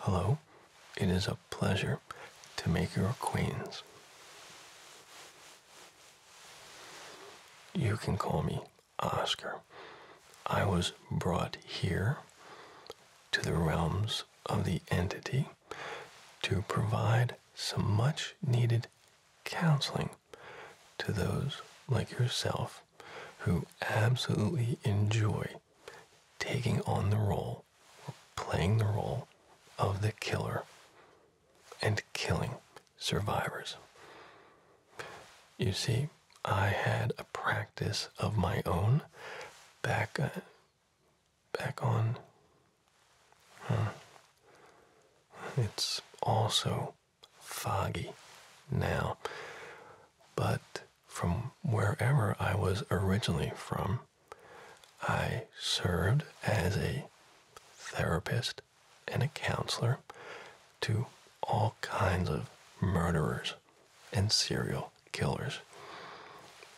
Hello, it is a pleasure to make your acquaintance. You can call me Oscar. I was brought here to the realms of the entity to provide some much needed counseling to those like yourself who absolutely enjoy taking on the role, playing the role of the killer and killing survivors. You see, I had a practice of my own back uh, back on. It's also foggy now, but from wherever I was originally from. I served as a therapist and a counselor to all kinds of murderers and serial killers.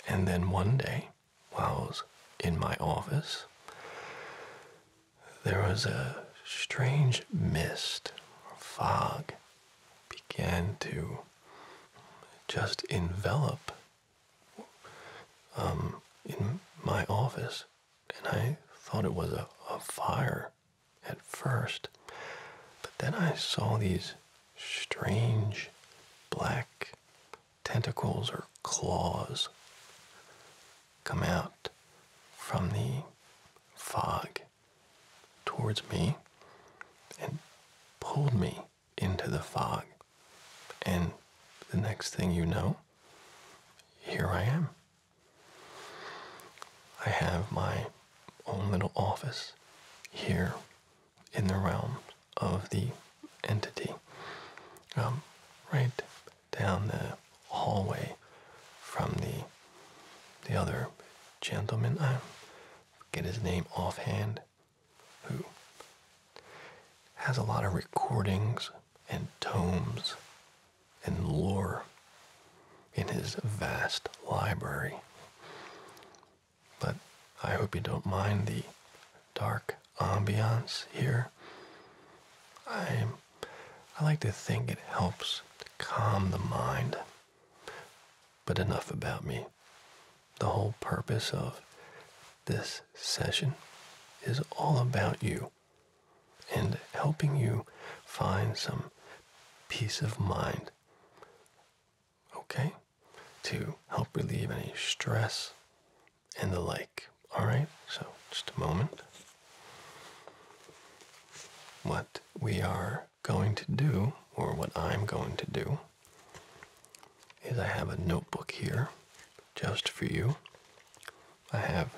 And then one day, while I was in my office, there was a strange mist, or fog, began to just envelop um, in my office. And I thought it was a fire at first. But then I saw these strange black tentacles or claws come out from the fog towards me and pulled me into the fog. And the next thing you know, here I am. I have my own little office here in the realm of the entity, um, right down the hallway from the the other gentleman. I'm get his name offhand, who has a lot of recordings and tomes and lore in his vast library. But I hope you don't mind the dark ambiance here. I I like to think it helps to calm the mind. But enough about me. The whole purpose of this session is all about you and helping you find some peace of mind. Okay? To help relieve any stress and the like. All right? So, just a moment. What we are going to do, or what I'm going to do, is I have a notebook here just for you. I have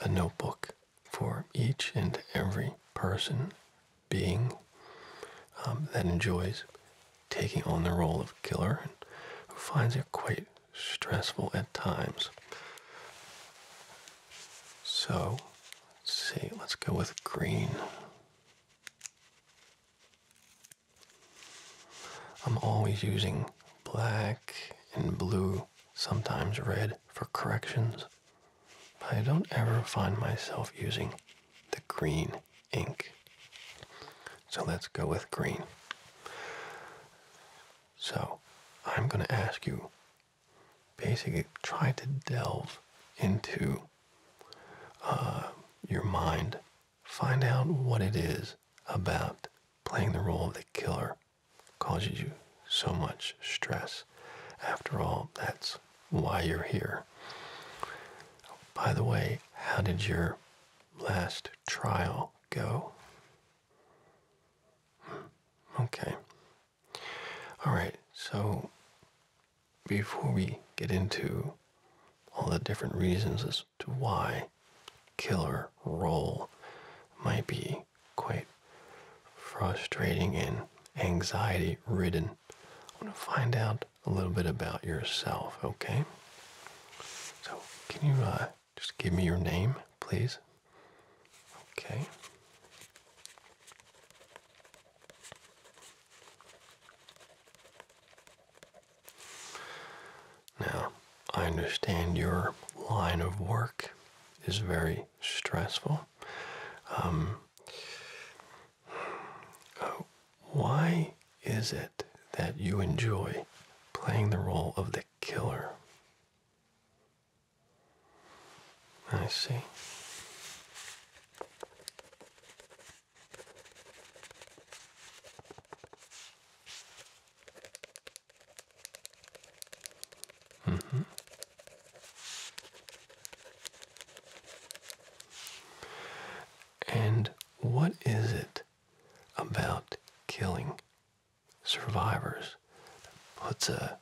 a notebook for each and every person, being um, that enjoys taking on the role of killer and who finds it quite stressful at times. So, let's see, let's go with green. I'm always using black and blue, sometimes red for corrections, but I don't ever find myself using the green ink. So let's go with green. So I'm going to ask you basically try to delve into uh, your mind. Find out what it is about playing the role of the killer causes you so much stress. After all, that's why you're here. By the way, how did your last trial go? Hmm. Okay. All right, so before we get into all the different reasons as to why killer role might be quite frustrating and anxiety ridden, I want to find out a little bit about yourself, okay? So, can you uh, just give me your name, please? Okay. Now, I understand your line of work is very stressful. Um, uh, why is it that you enjoy playing the role of the killer? I see. Mm-hmm. And what is it about killing survivors that puts a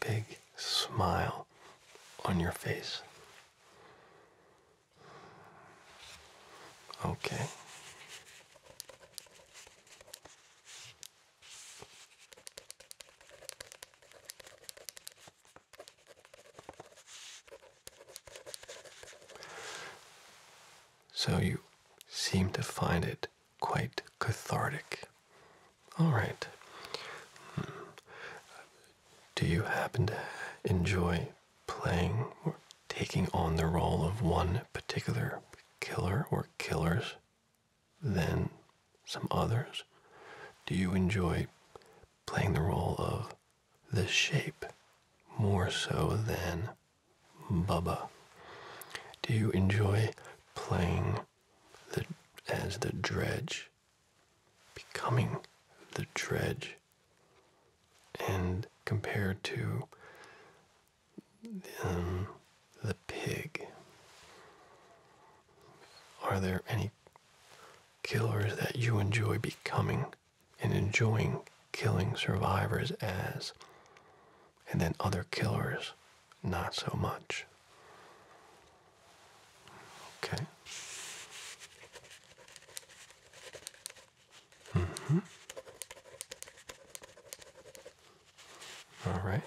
big smile on your face? Okay. So you seem to find it quite cathartic. All right. Hmm. Do you happen to enjoy playing or taking on the role of one particular killer or killers than some others? Do you enjoy playing the role of the shape more so than Bubba? Do you enjoy playing the, as the dredge becoming the dredge. And compared to um, the pig, are there any killers that you enjoy becoming and enjoying killing survivors as? And then other killers, not so much. Okay. Mm-hmm. All right.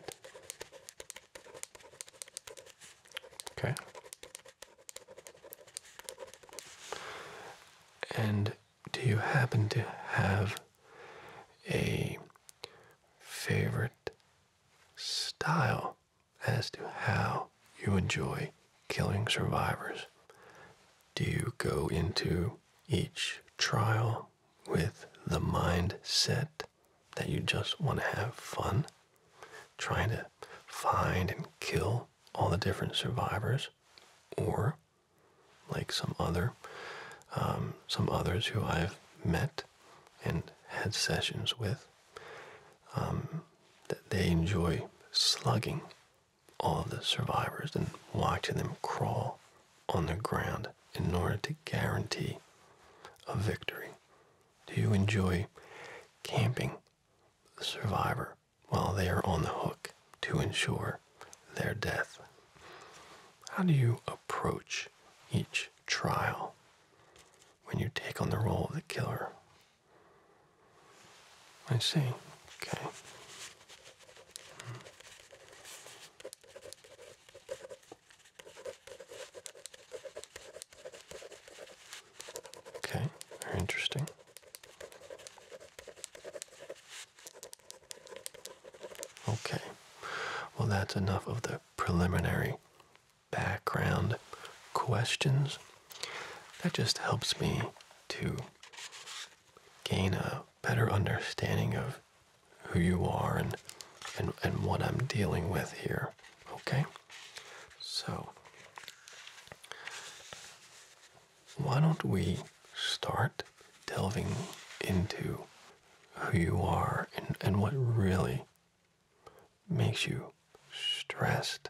Okay. And do you happen to have a favorite style as to how you enjoy killing survivors. Do you go into each trial with the mindset that you just want to have fun, trying to find and kill all the different survivors, or like some other, um, some others who I've met and had sessions with, um, that they enjoy slugging all of the survivors and watching them crawl on the ground in order to guarantee a victory. Do you enjoy camping the survivor while they are on the hook to ensure their death? How do you approach each trial when you take on the role of the killer? I see. Okay. Okay, very interesting. Okay, well, that's enough of the preliminary background questions. That just helps me to gain a better understanding of who you are and, and, and what I'm dealing with here. Okay? So, why don't we start delving into who you are and, and what really makes you stressed,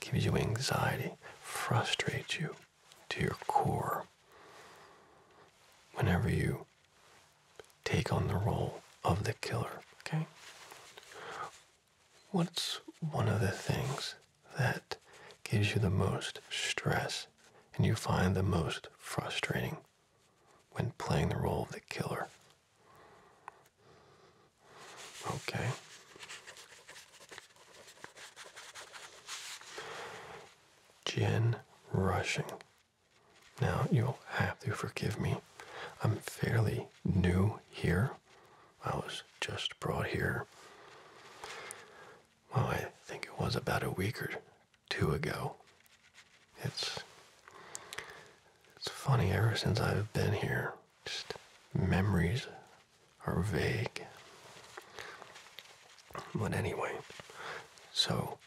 gives you anxiety, frustrates you to your core. Whenever you take on the role of the killer, okay? What's one of the things that gives you the most stress and you find the most frustrating when playing the role of the killer? Okay. Jen, rushing. Now you'll have to forgive me. I'm fairly new here. I was just brought here. Well, I think it was about a week or two ago. It's it's funny ever since I've been here. Just memories are vague. But anyway, so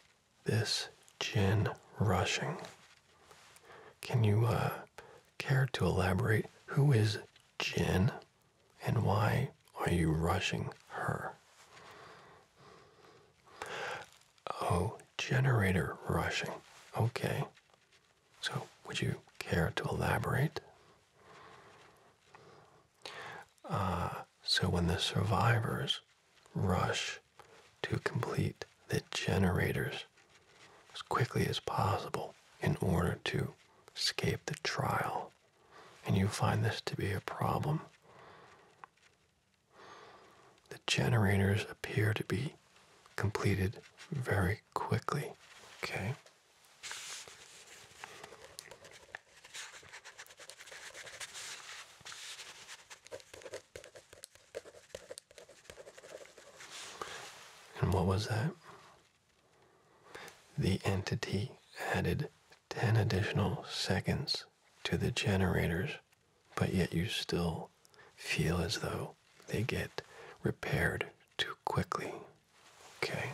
this gin rushing. Can you uh, care to elaborate? Who is Jin and why are you rushing her? Oh, generator rushing. Okay. So, would you care to elaborate? Uh, so, when the survivors rush to complete the generators as quickly as possible in order to escape the trial, and you find this to be a problem, the generators appear to be completed very quickly. Okay. And what was that? The entity added 10 additional seconds to the generators, but yet you still feel as though they get repaired too quickly. Okay.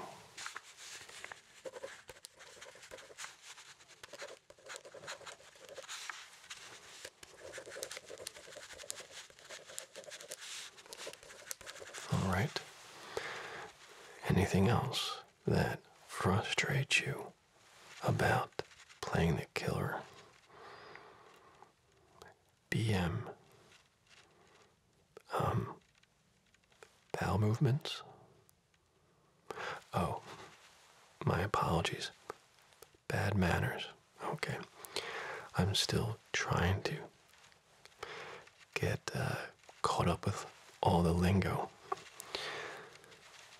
All right. Anything else that frustrates you about playing the killer? BM um, bowel movements. Oh, my apologies. Bad manners. Okay. I'm still trying to get uh, caught up with all the lingo.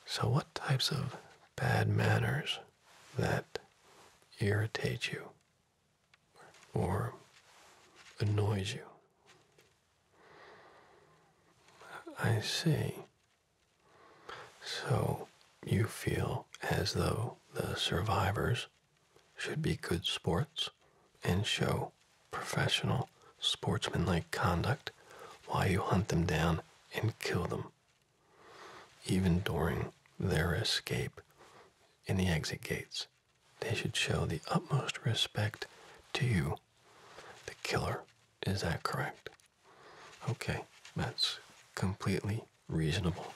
So, what types of bad manners that irritate you or annoys you. I see. So you feel as though the survivors should be good sports and show professional sportsmanlike conduct while you hunt them down and kill them, even during their escape in the exit gates they should show the utmost respect to you, the killer. Is that correct? Okay, that's completely reasonable.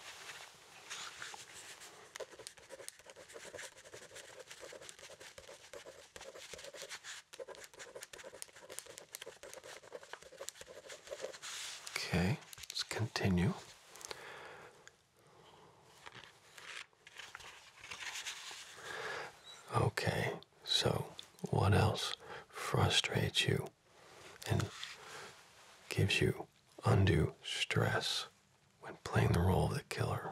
Okay, let's continue. Okay, so what else frustrates you and gives you undue stress when playing the role of the killer?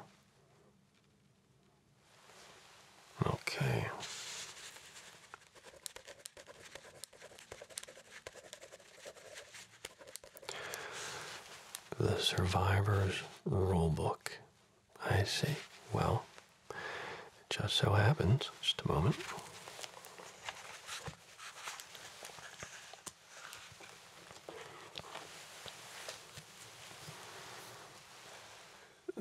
Okay. The Survivor's Rulebook. I see. Well, it just so happens, just a moment.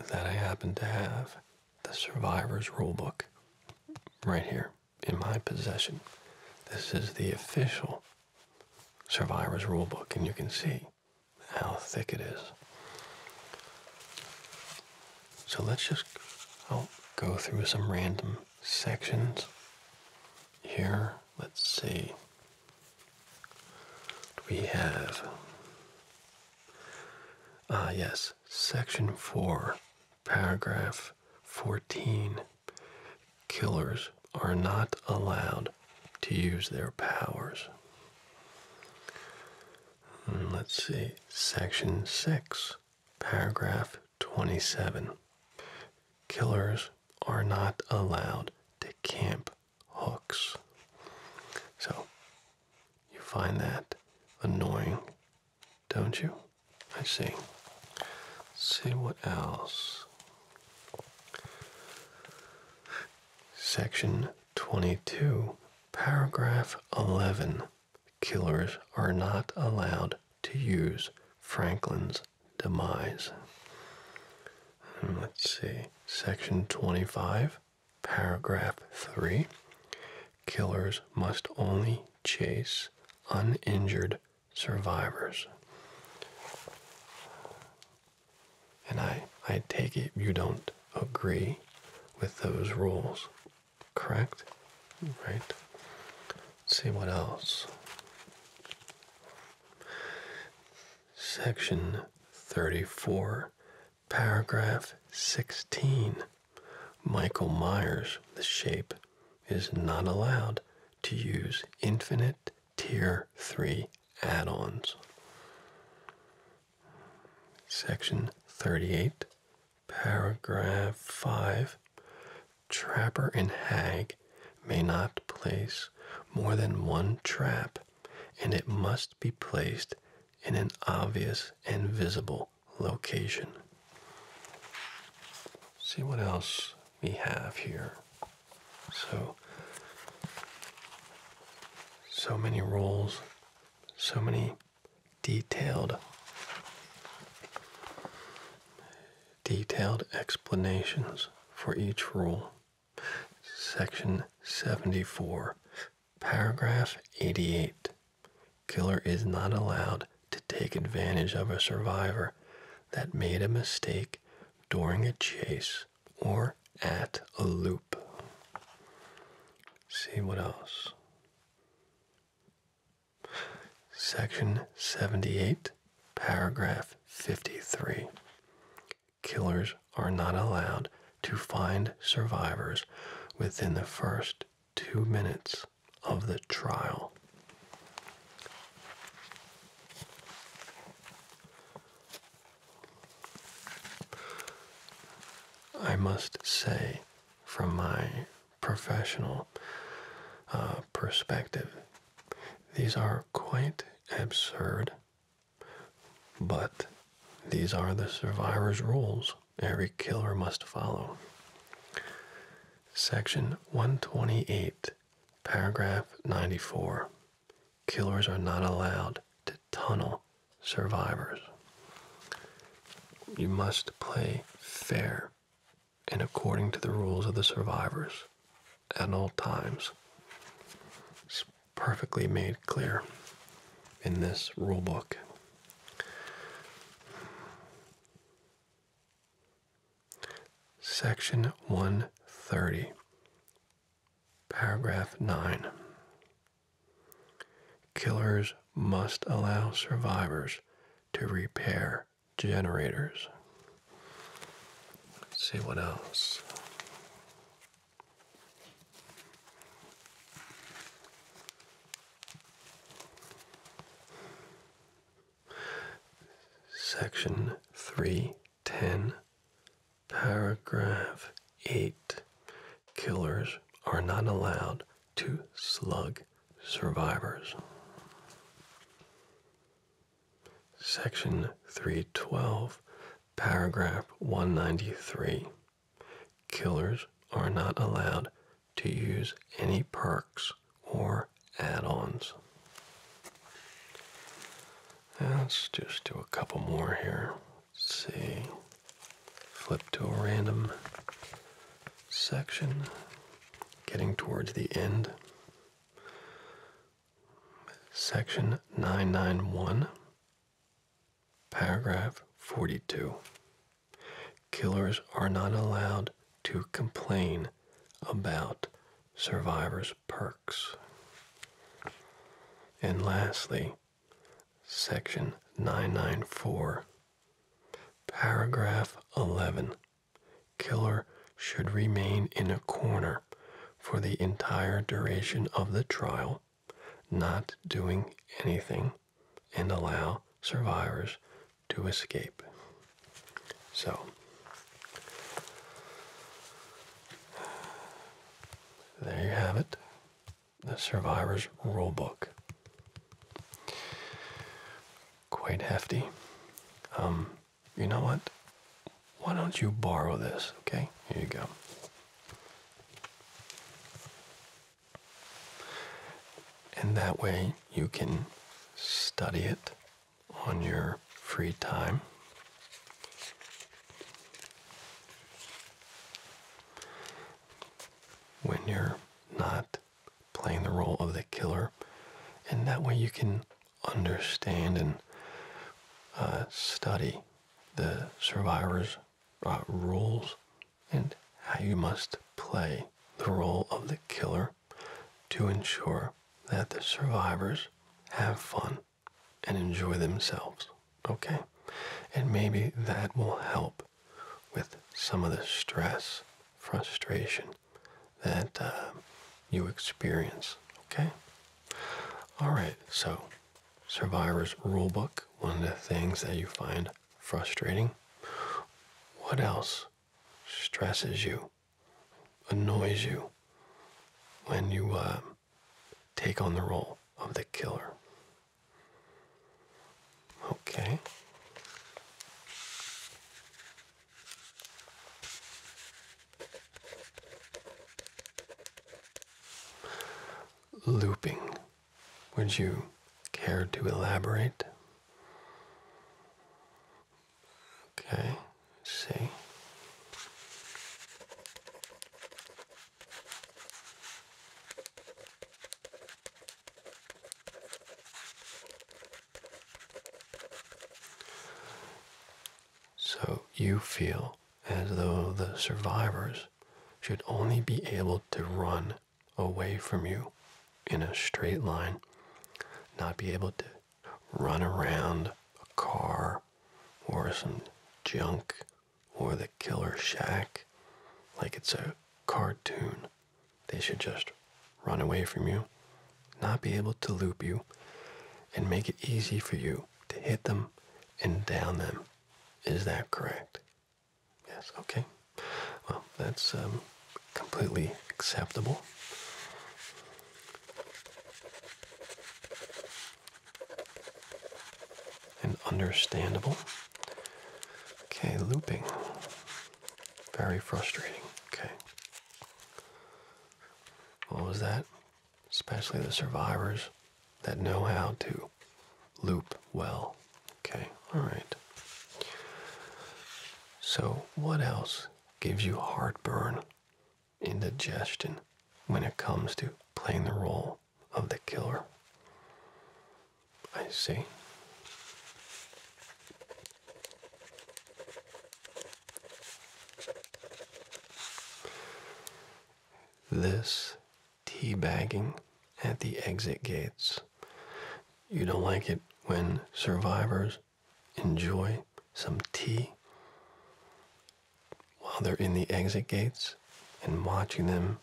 That I happen to have the Survivor's Rulebook right here in my possession. This is the official Survivor's Rulebook, and you can see how thick it is. So let's just I'll go through some random sections here. Let's see. We have, ah, yes, section 4, paragraph 14 killers are not allowed to use their powers. Hmm, let's see, Section 6, Paragraph 27. Killers are not allowed to camp hooks. So, you find that annoying, don't you? I see. Let's see what else. Section 22, paragraph 11. Killers are not allowed to use Franklin's demise. Hmm, let's see. Section 25, paragraph 3. Killers must only chase uninjured survivors. And I, I take it you don't agree with those rules, correct? Right? see what else. Section 34, paragraph 16. Michael Myers, the shape, is not allowed to use infinite tier 3 add-ons. Section 38, paragraph 5. Trapper and hag may not place more than one trap, and it must be placed in an obvious and visible location. See what else we have here. So, so many roles, so many detailed, detailed explanations for each rule. Section 74, paragraph 88. Killer is not allowed to take advantage of a survivor that made a mistake during a chase or at a loop. See what else? Section 78, paragraph 53. Killers are not allowed to find survivors within the first two minutes of the trial. I must say, from my professional uh, perspective, these are quite absurd, but these are the survivor's rules every killer must follow. Section 128 Paragraph 94 Killers are not allowed to tunnel survivors. You must play fair and according to the rules of the survivors at all times. It's perfectly made clear in this rulebook. Section 130, paragraph 9. Killers must allow survivors to repair generators. see what else. Section 310, paragraph 8. Killers are not allowed to slug survivors. Section 312, paragraph 193. Killers are not allowed to use any perks or add-ons. Let's just do a couple more here. Let's see. Flip to a random section. Getting towards the end. Section 991, paragraph 42. Killers are not allowed to complain about survivors perks. And lastly, Section 994, Paragraph 11 Killer should remain in a corner for the entire duration of the trial, not doing anything, and allow survivors to escape. So there you have it. The Survivor's Rulebook. Quite hefty. Um, you know what? Why don't you borrow this? Okay, here you go. And that way you can study it on your free time. When you're not playing the role of the killer, and that way you can understand and uh, study the survivor's uh, rules and how you must play the role of the killer to ensure that the survivors have fun and enjoy themselves. Okay? And maybe that will help with some of the stress, frustration that uh, you experience. Okay? All right, so Survivor's rule book. one of the things that you find frustrating. What else stresses you? annoys you when you uh, take on the role of the killer. Okay. Looping. Would you care to elaborate? Okay, let's see. So you feel as though the survivors should only be able to run away from you in a straight line, not be able to run around a car or some junk or the killer shack like it's a cartoon. They should just run away from you, not be able to loop you, and make it easy for you to hit them and down them. Is that correct? Yes, okay. Well, that's um, completely acceptable and understandable. Okay, looping. Very frustrating. Okay. What was that? Especially the survivors that know how to loop well. Okay, all right. So, what else gives you heartburn indigestion when it comes to playing the role of the killer. I see. This teabagging at the exit gates. You don't like it when survivors enjoy some tea while they're in the exit gates and watching them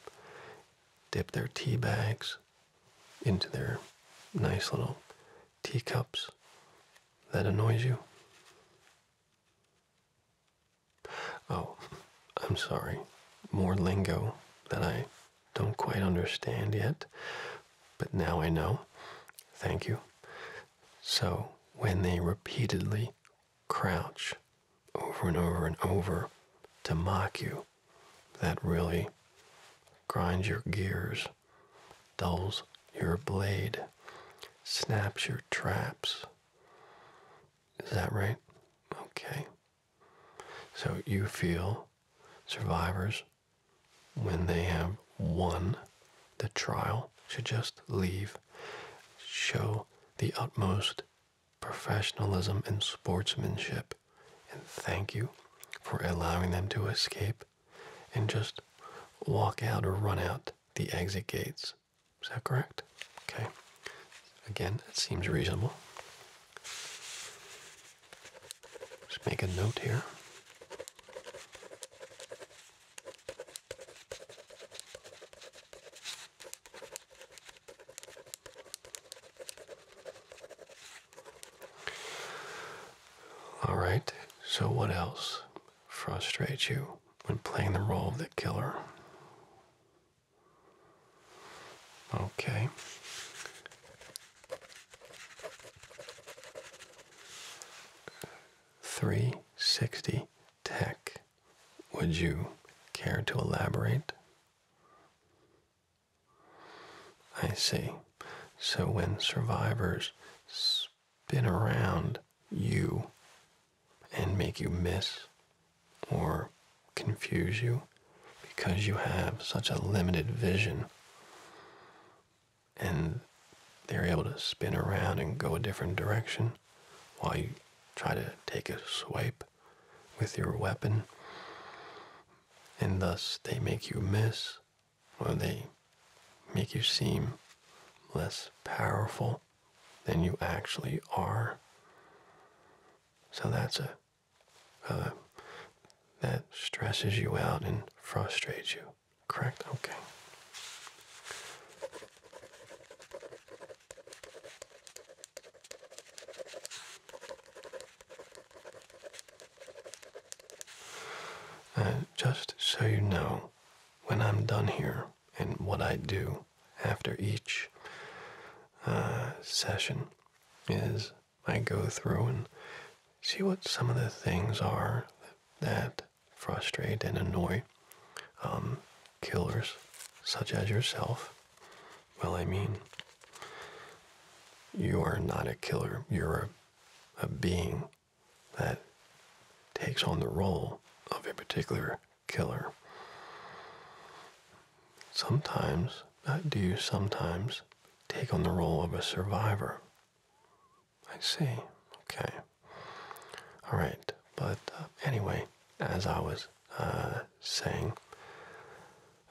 dip their tea bags into their nice little teacups that annoys you. Oh, I'm sorry. More lingo that I don't quite understand yet, but now I know. Thank you. So when they repeatedly crouch over and over and over to mock you, that really grinds your gears, dulls your blade, snaps your traps. Is that right? Okay. So you feel survivors when they have won the trial should just leave. Show the utmost professionalism and sportsmanship. And thank you for allowing them to escape and just walk out or run out the exit gates. Is that correct? Okay. Again, that seems reasonable. Just make a note here. All right, so what else frustrates you when playing the role of the killer? Okay. 360 Tech. Would you care to elaborate? I see. So when survivors spin around you and make you miss or confuse you because you have such a limited vision, and they're able to spin around and go a different direction while you try to take a swipe with your weapon and thus they make you miss or they make you seem less powerful than you actually are so that's a uh, that stresses you out and frustrates you correct? Okay. Uh, just so you know, when I'm done here and what I do after each uh, session is I go through and see what some of the things are that frustrate and annoy um, killers such as yourself. Well, I mean, you are not a killer. You're a, being that takes on the role of a particular killer. Sometimes, uh, do you sometimes take on the role of a survivor? I see. Okay. All right. But uh, anyway, as I was uh, saying,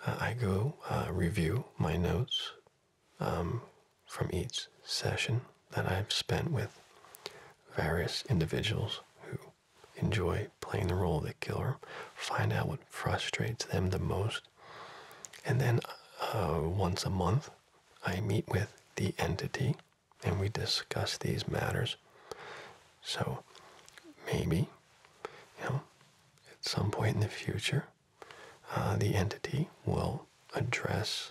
uh, I go review my notes um, from each session that I've spent with various individuals who enjoy playing the role of the killer, find out what frustrates them the most, and then once a month I meet with the entity and we discuss these matters. So maybe, you know, at some point in the future, uh, the entity will address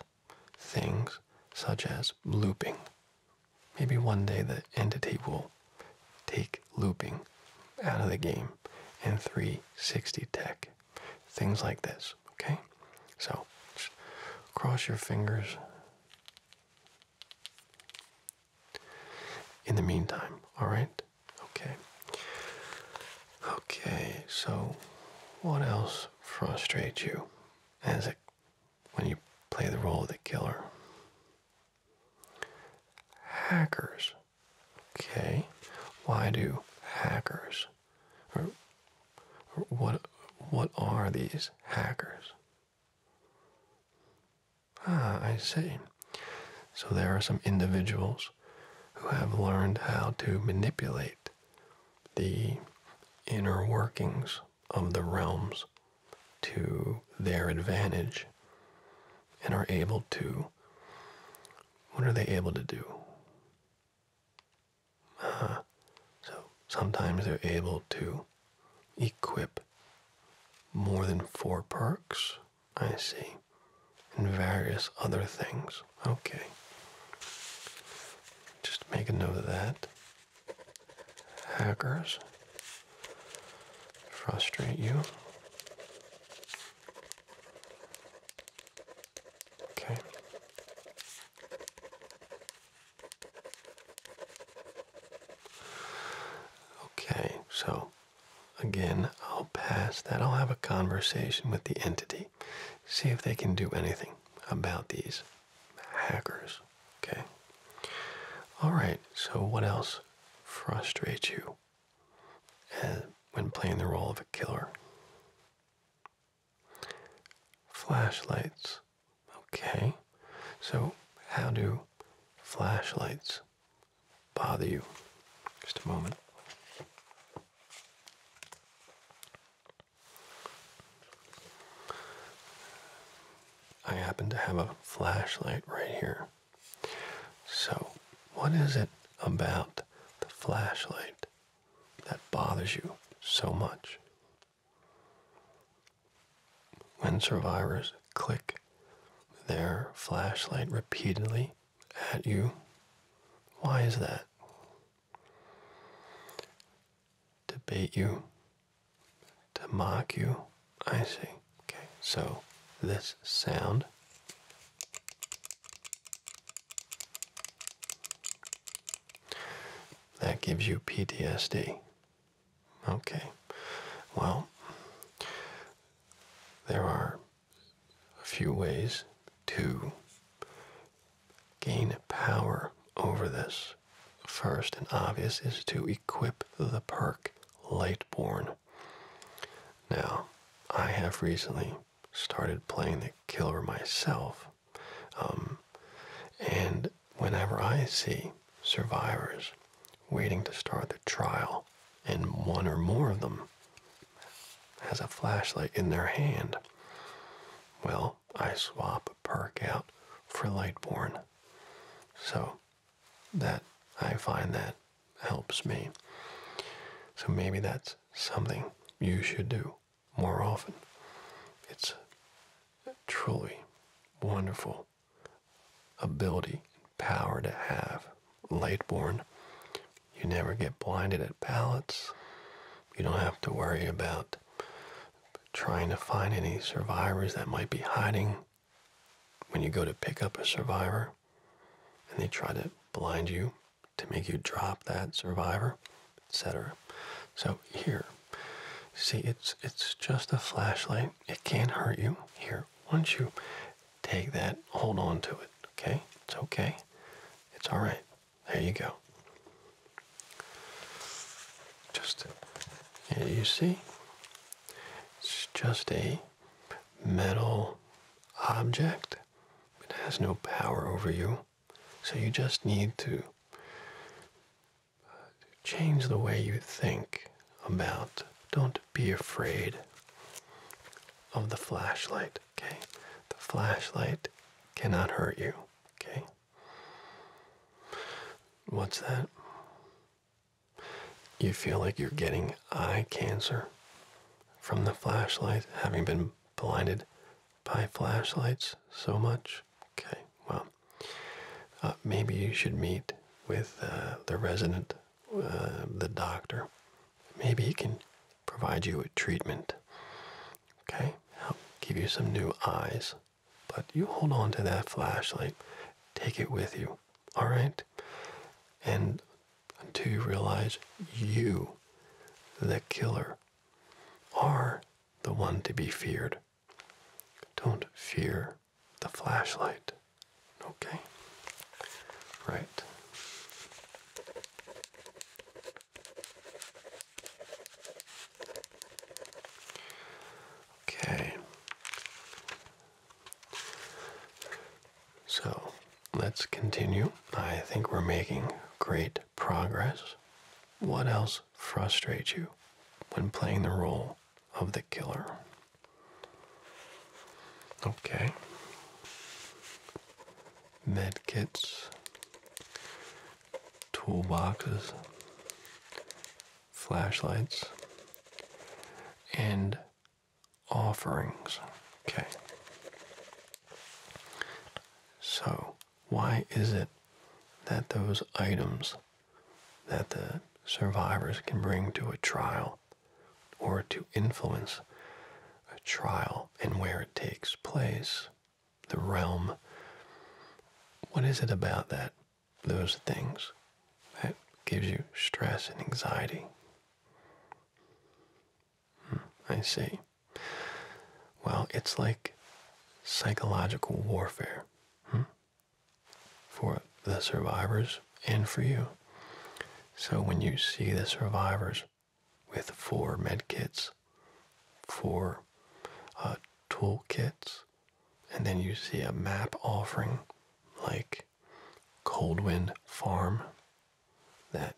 things such as looping. Maybe one day the entity will take looping out of the game and 360 tech. Things like this. Okay? So, cross your fingers. In the meantime, all right? Okay. Okay, so what else frustrates you as it when you play the role of the killer? Hackers. Okay. Why do hackers or what what are these hackers? Ah, I see. So there are some individuals who have learned how to manipulate the inner workings of the realms to their advantage and are able to what are they able to do so sometimes they're able to equip more than four perks. I see. And various other things. Okay. Just make a note of that. Hackers frustrate you. Okay. Okay, so again, I'll pass that. I'll have a conversation with the entity, see if they can do anything about these hackers. Okay. All right, so what else frustrates you eh, when playing the role of a killer? Flashlights. Okay. So, how do flashlights bother you? Just a moment. I happen to have a flashlight right here. So, what is it about the flashlight that bothers you so much? When survivors click their flashlight repeatedly at you, why is that? To bait you, to mock you. I see. Okay, so this sound. That gives you PTSD. Okay. Well, there are a few ways to gain power over this. First and obvious is to equip the perk Lightborn. Now, I have recently started playing the killer myself, um, and whenever I see survivors waiting to start the trial, and one or more of them has a flashlight in their hand, well, I swap a perk out for Lightborn. So that I find that helps me. So maybe that's something you should do more often. It's truly wonderful ability, and power to have. Late you never get blinded at pallets. You don't have to worry about trying to find any survivors that might be hiding when you go to pick up a survivor and they try to blind you to make you drop that survivor etc. So here, see it's it's just a flashlight. It can't hurt you. Here, once you take that, hold on to it. Okay, it's okay. It's all right. There you go. Just yeah, you see, it's just a metal object. It has no power over you. So you just need to change the way you think about. Don't be afraid of the flashlight, okay? The flashlight cannot hurt you, okay? What's that? You feel like you're getting eye cancer from the flashlight, having been blinded by flashlights so much? Okay, well, uh, maybe you should meet with uh, the resident, uh, the doctor. Maybe he can provide you with treatment. Okay, I'll give you some new eyes. But you hold on to that flashlight. Take it with you. All right? And until you realize you, the killer, are the one to be feared. Don't fear the flashlight. Okay? Right. Okay. So let's continue. I think we're making great progress. What else frustrate you when playing the role of the killer. Okay. Medkits, toolboxes, flashlights, and offerings. Okay. So, why is it that those items that the survivors can bring to a trial or to influence a trial and where it takes place, the realm, what is it about that, those things, that gives you stress and anxiety? Hmm, I see. Well, it's like psychological warfare. Hmm? for the survivors and for you. So when you see the survivors with four med kits, four uh, tool kits, and then you see a map offering like Coldwind Farm that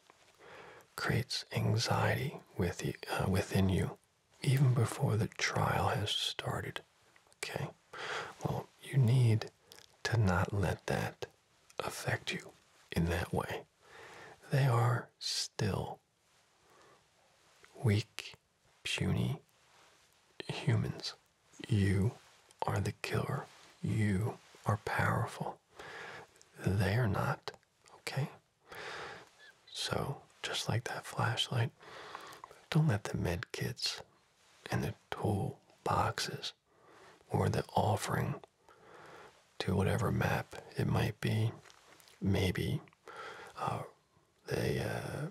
creates anxiety with you, uh, within you even before the trial has started. Okay? Well, you need to not let that affect you in that way. They are still weak, puny humans. You are the killer. You are powerful. They are not. Okay? So, just like that flashlight, don't let the med kits and the tool boxes or the offering to whatever map it might be, maybe uh, the uh,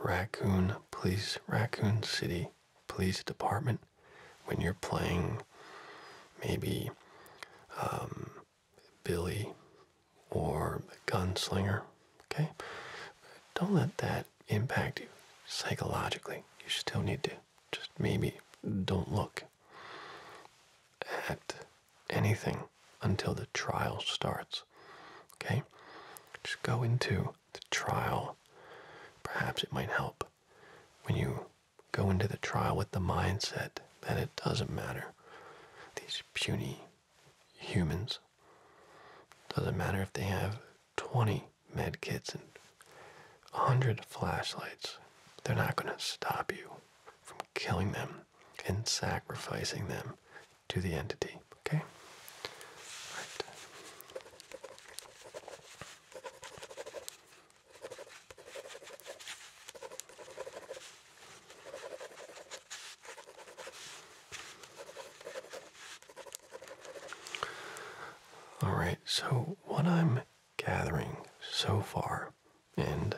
Raccoon Police, Raccoon City Police Department, when you're playing maybe um, Billy or the gunslinger. Okay? Don't let that impact you psychologically. You still need to just maybe don't look at anything until the trial starts. Okay? Just go into the trial. Perhaps it might help when you go into the trial with the mindset that it doesn't matter. These puny humans doesn't matter if they have 20 med kits and 100 flashlights, they're not going to stop you from killing them and sacrificing them to the entity. Okay? All right, so what I'm gathering so far and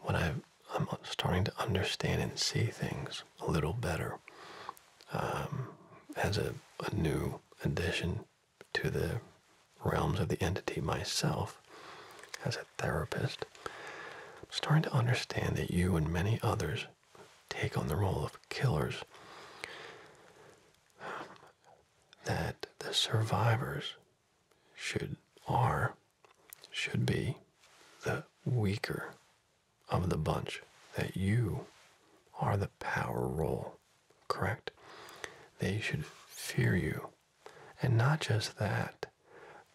what i am starting to understand and see things a little better um, as a new addition to the realms of the entity myself as a therapist I'm starting to understand that you and many others take on the role of killers. That the survivors should are should be the weaker of the bunch. That you are the power role, correct? They should fear you. And not just that,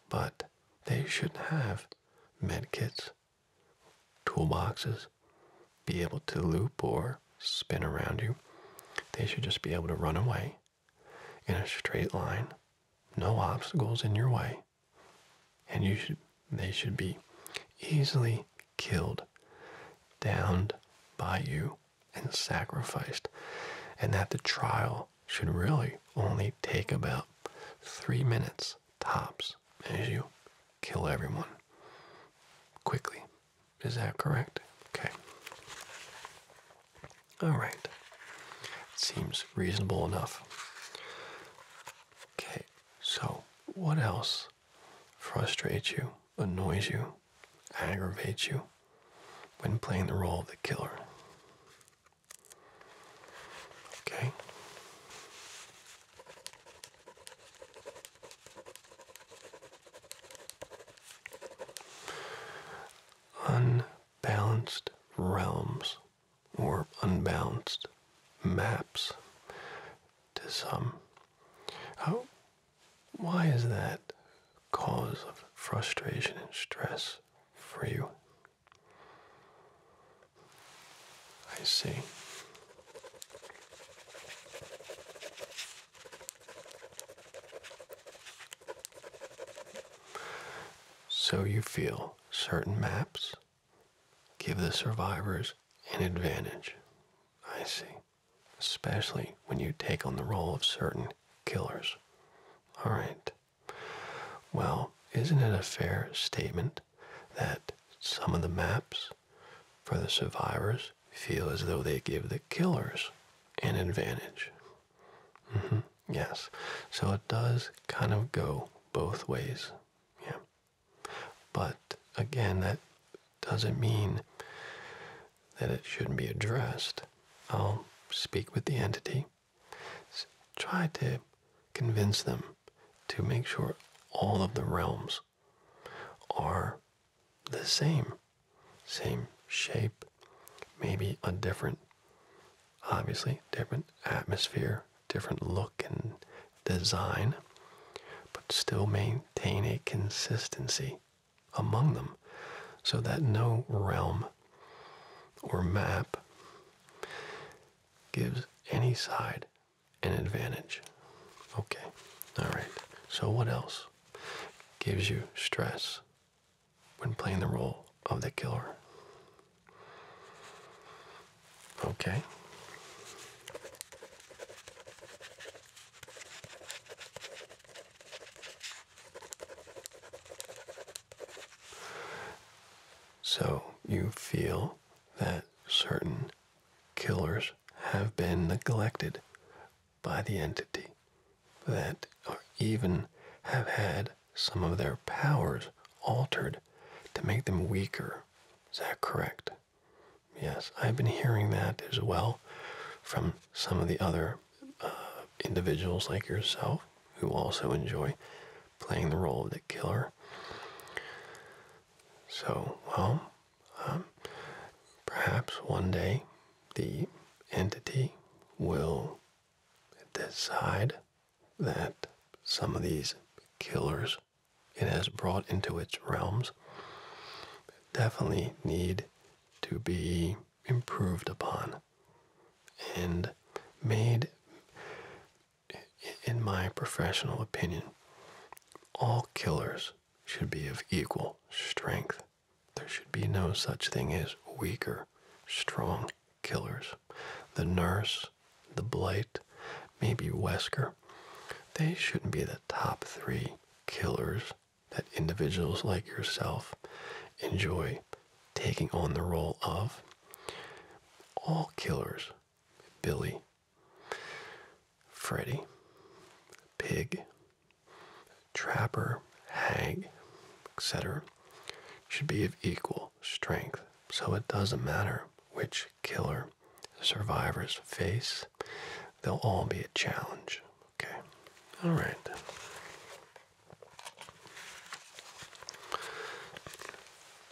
but they should have med kits, toolboxes be able to loop or spin around you. They should just be able to run away in a straight line, no obstacles in your way, and you should they should be easily killed, downed by you, and sacrificed, and that the trial should really only take about three minutes tops as you kill everyone quickly. Is that correct? Okay. All right. Seems reasonable enough. Okay, so what else frustrates you, annoys you, aggravates you when playing the role of the killer? Okay. Unbalanced realms or unbalanced maps to some. How, why is that cause of frustration and stress for you? I see. So you feel certain maps give the survivors an advantage. I see. Especially when you take on the role of certain killers. All right. Well, isn't it a fair statement that some of the maps for the survivors feel as though they give the killers an advantage? Mm-hmm. Yes. So it does kind of go both ways. Yeah. But again, that doesn't mean that it shouldn't be addressed. I'll speak with the entity so try to convince them to make sure all of the realms are the same, same shape, maybe a different, obviously, different atmosphere, different look and design, but still maintain a consistency among them so that no realm or map gives any side an advantage. Okay, all right. So, what else gives you stress when playing the role of the killer? Okay. So you feel that certain killers have been neglected by the entity, that are even have had some of their powers altered to make them weaker. Is that correct? Yes, I've been hearing that as well from some of the other uh, individuals like yourself who also enjoy playing the role of the killer. So, well, um, perhaps one day the entity will decide that some of these killers it has brought into its realms definitely need to be improved upon and made in my professional opinion, all killers should be of equal strength. There should be no such thing as weaker, strong killers. The nurse, the blight, maybe Wesker, they shouldn't be the top three killers that individuals like yourself enjoy taking on the role of. All killers Billy, Freddy, Pig, Trapper, Hag, etc., should be of equal strength, so it doesn't matter which killer survivors face, they'll all be a challenge. Okay, all right.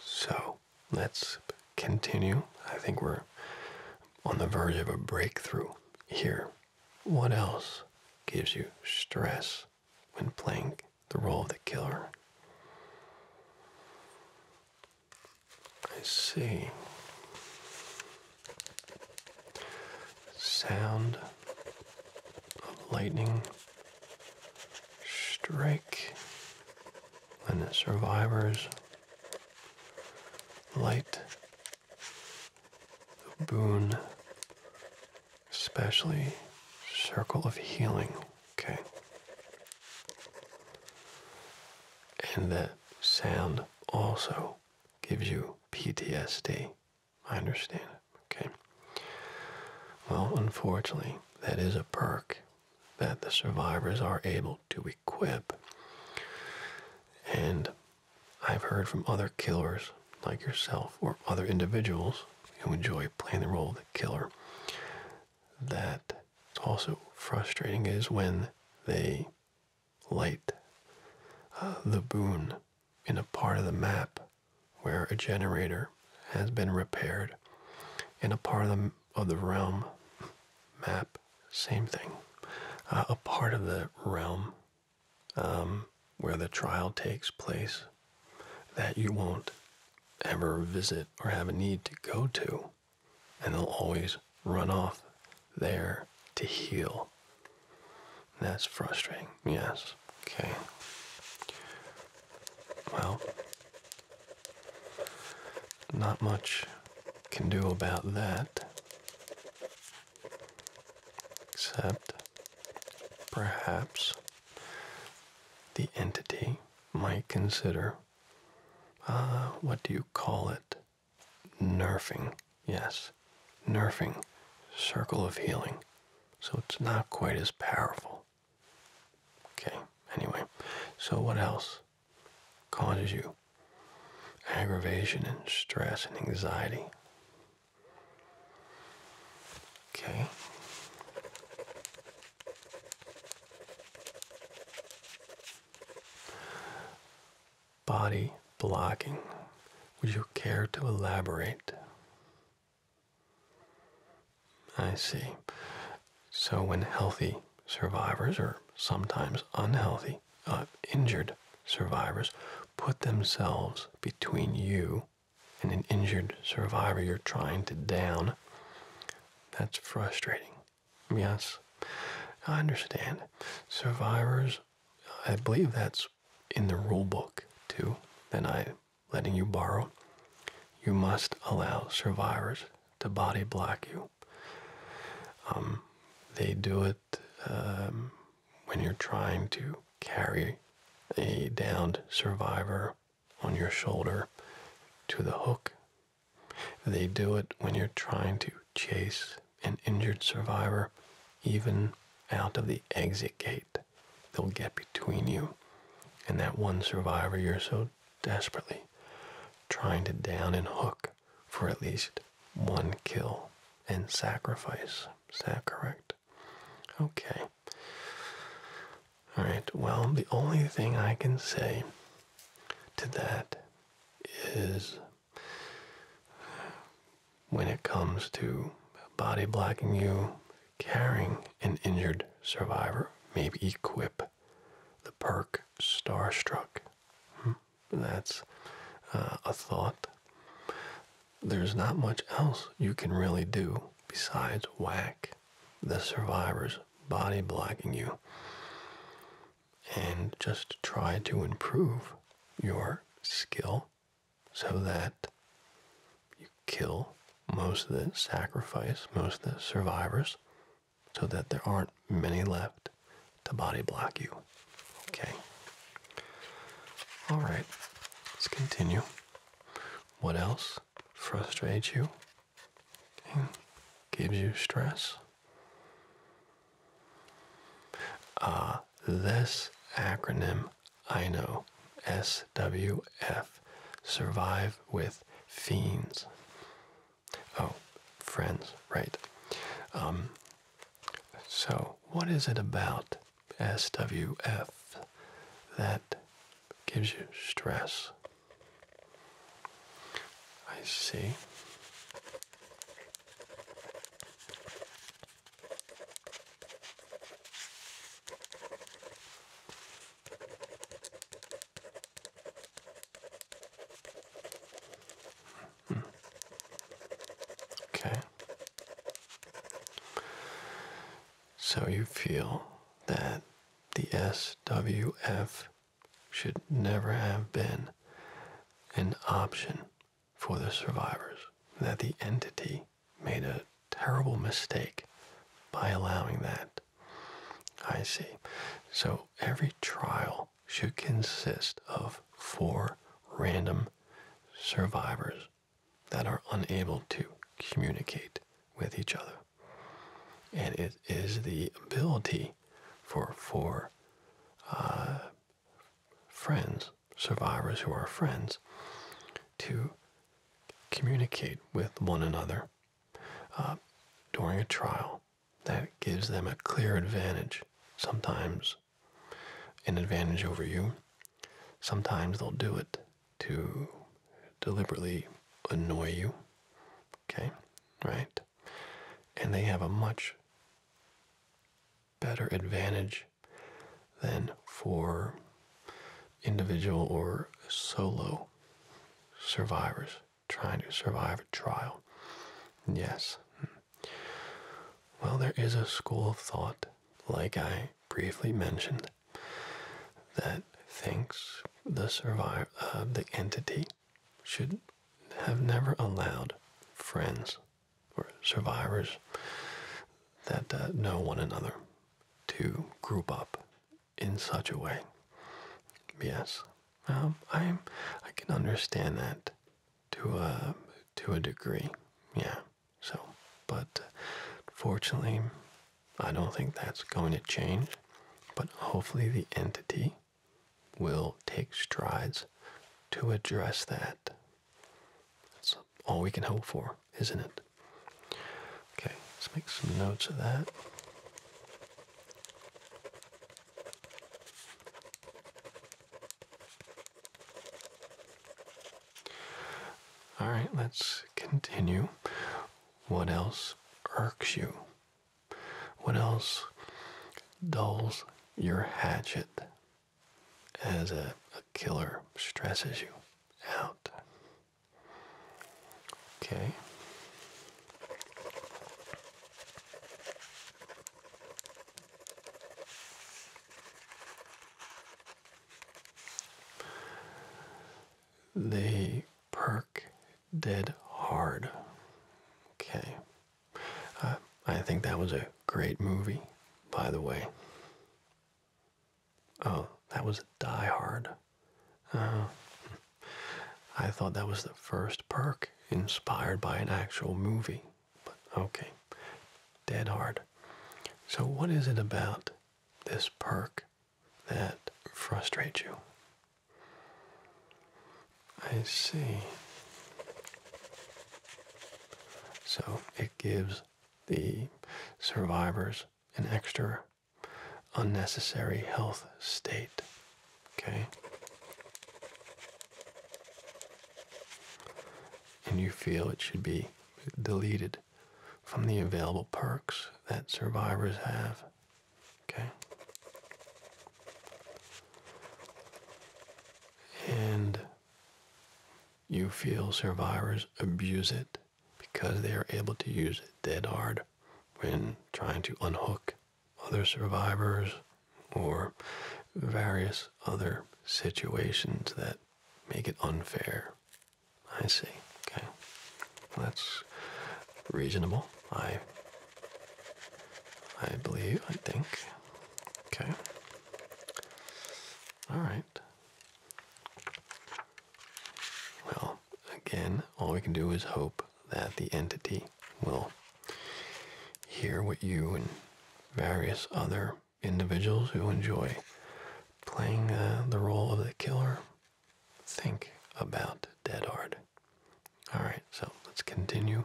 So, let's continue. I think we're on the verge of a breakthrough here. What else gives you stress when playing the role of the killer? I see. Sound of lightning strike and the survivors light the boon, especially circle of healing. Okay. And that sound also gives you PTSD. I understand. Okay. Well, unfortunately, that is a perk that the survivors are able to equip. And I've heard from other killers like yourself or other individuals who enjoy playing the role of the killer that it's also frustrating is when they light uh, the boon in a part of the map where a generator has been repaired and a part of the of the realm map, same thing. Uh, a part of the realm um, where the trial takes place that you won't ever visit or have a need to go to, and they'll always run off there to heal. That's frustrating, yes. Okay. Well, not much can do about that, except perhaps the entity might consider uh, what do you call it? Nerfing, yes, nerfing, circle of healing. So it's not quite as powerful. Okay, anyway, so what else causes you aggravation and stress and anxiety? Okay. Body blocking. Would you care to elaborate? I see. So when healthy survivors, or sometimes unhealthy, uh, injured survivors, put themselves between you and an injured survivor you're trying to down, that's frustrating. Yes, I understand. Survivors, I believe that's in the rule book too, that I am letting you borrow. You must allow survivors to body block you. Um, they do it um, when you're trying to carry a downed survivor on your shoulder to the hook. They do it when you're trying to chase an injured survivor, even out of the exit gate. They'll get between you and that one survivor you're so desperately, trying to down and hook for at least one kill and sacrifice. Is that correct? Okay. Alright, well, the only thing I can say to that is when it comes to body blocking you, carrying an injured survivor, maybe equip the perk starstruck. Hmm. That's uh, a thought. There's not much else you can really do besides whack the survivors body blocking you and just try to improve your skill so that you kill most of the sacrifice, most of the survivors so that there aren't many left to body block you. Okay. All right. Let's continue. What else frustrates you? Gives you stress? Ah, this acronym I know, SWF, survive with fiends. Oh, friends, right. Um, so, what is it about SWF that gives you stress? I see. Okay. So you feel that the SWF should never have been an option for the survivors, that the entity made a terrible mistake by allowing that I see. So every trial should consist of four random survivors that are unable to communicate with each other. And it is the ability for four uh, friends, survivors who are friends, to communicate with one another uh, during a trial that gives them a clear advantage. Sometimes an advantage over you. Sometimes they'll do it to deliberately annoy you. Okay? Right? And they have a much better advantage than for individual or solo survivors trying to survive a trial. Yes. Well, there is a school of thought, like I briefly mentioned, that thinks the survivor, uh, the entity, should have never allowed friends or survivors that uh, know one another to group up in such a way. Yes, um, I I can understand that to a uh, to a degree. Yeah. So, but uh, fortunately, I don't think that's going to change. But hopefully, the entity will take strides to address that. That's all we can hope for, isn't it? Okay, let's make some notes of that. All right, let's continue. What else irks you? What else dulls your hatchet as a, killer stresses you out? Okay. They perk dead hard. Okay. Uh, I think that was a great movie, by the way. Oh, that was Die Hard. Uh, I thought that was the first perk inspired by an actual movie. But okay, dead hard. So, what is it about this perk that frustrates you? I see. So, it gives the survivors an extra unnecessary health state. Okay? And you feel it should be deleted from the available perks that survivors have. Okay? And you feel survivors abuse it because they are able to use it dead hard when trying to unhook other survivors or various other situations that make it unfair. I see. Okay. That's reasonable. I I believe, I think. Okay. All right. Well, again, all we can do is hope that the entity will hear what you and various other individuals who enjoy playing uh, the role of the killer think about dead art. All right, so let's continue.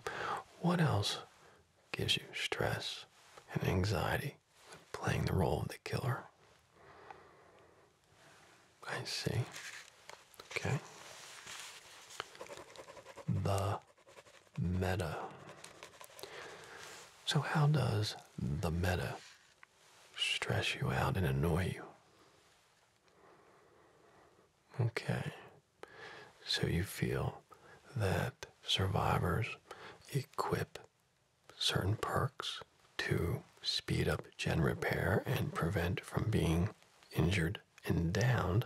What else gives you stress and anxiety playing the role of the killer? I see. Okay. The meta. So, how does the meta stress you out and annoy you? Okay. So, you feel that survivors equip certain perks to speed up gen repair and prevent from being injured and downed,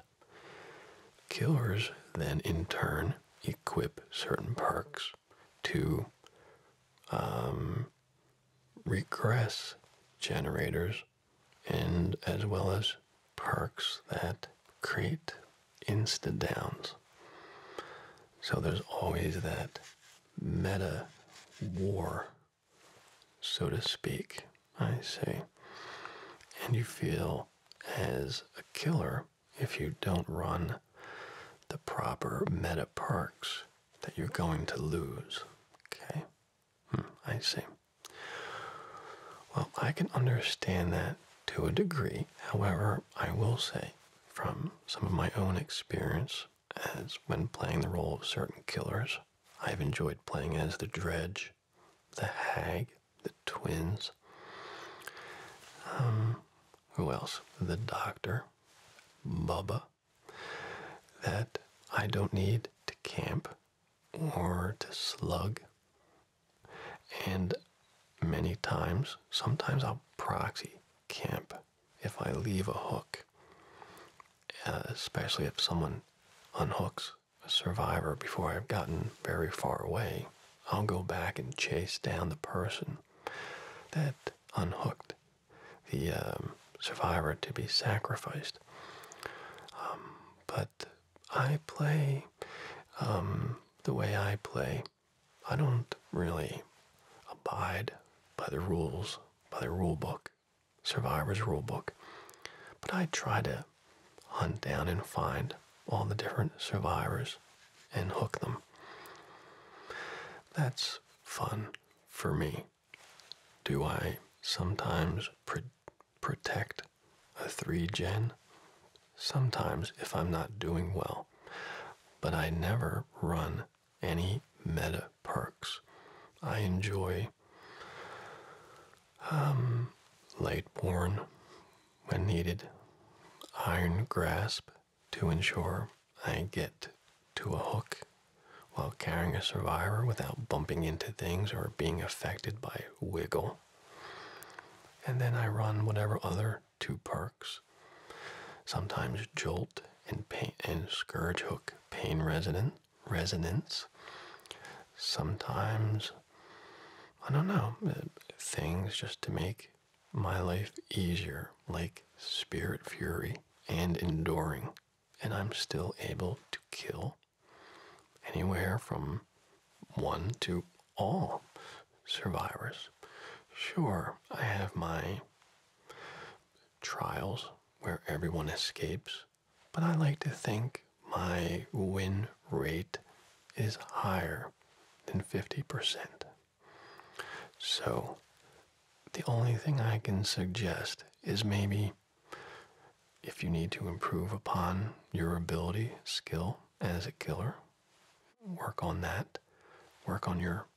killers then in turn equip certain perks to um, regress generators and as well as perks that create insta downs. So there's always that meta war so to speak, I see, And you feel as a killer if you don't run the proper meta perks that you're going to lose. Okay? Hmm, I see. Well, I can understand that to a degree. However, I will say from some of my own experience as when playing the role of certain killers, I've enjoyed playing as the Dredge, the Hag, the Twins. Um, who else? The Doctor, Bubba. That I don't need to camp or to slug. And many times, sometimes I'll proxy camp if I leave a hook, uh, especially if someone unhooks a survivor before I've gotten very far away, I'll go back and chase down the person that unhooked the um, survivor to be sacrificed. Um, but I play um, the way I play. I don't really abide by the rules, by the rule book. Survivor's Rulebook. But I try to hunt down and find all the different survivors and hook them. That's fun for me. Do I sometimes protect a 3 gen? Sometimes if I'm not doing well. But I never run any meta perks. I enjoy um, Lightborne, when needed, iron grasp to ensure I get to a hook while carrying a survivor without bumping into things or being affected by wiggle. And then I run whatever other two perks, sometimes jolt and pain and scourge hook pain resident, resonance. Sometimes, I don't know, uh, things just to make my life easier, like spirit fury and enduring. And I'm still able to kill anywhere from one to all survivors. Sure, I have my trials where everyone escapes, but I like to think my win rate is higher than 50%. So the only thing I can suggest is maybe if you need to improve upon your ability, skill as a killer, work on that. Work on your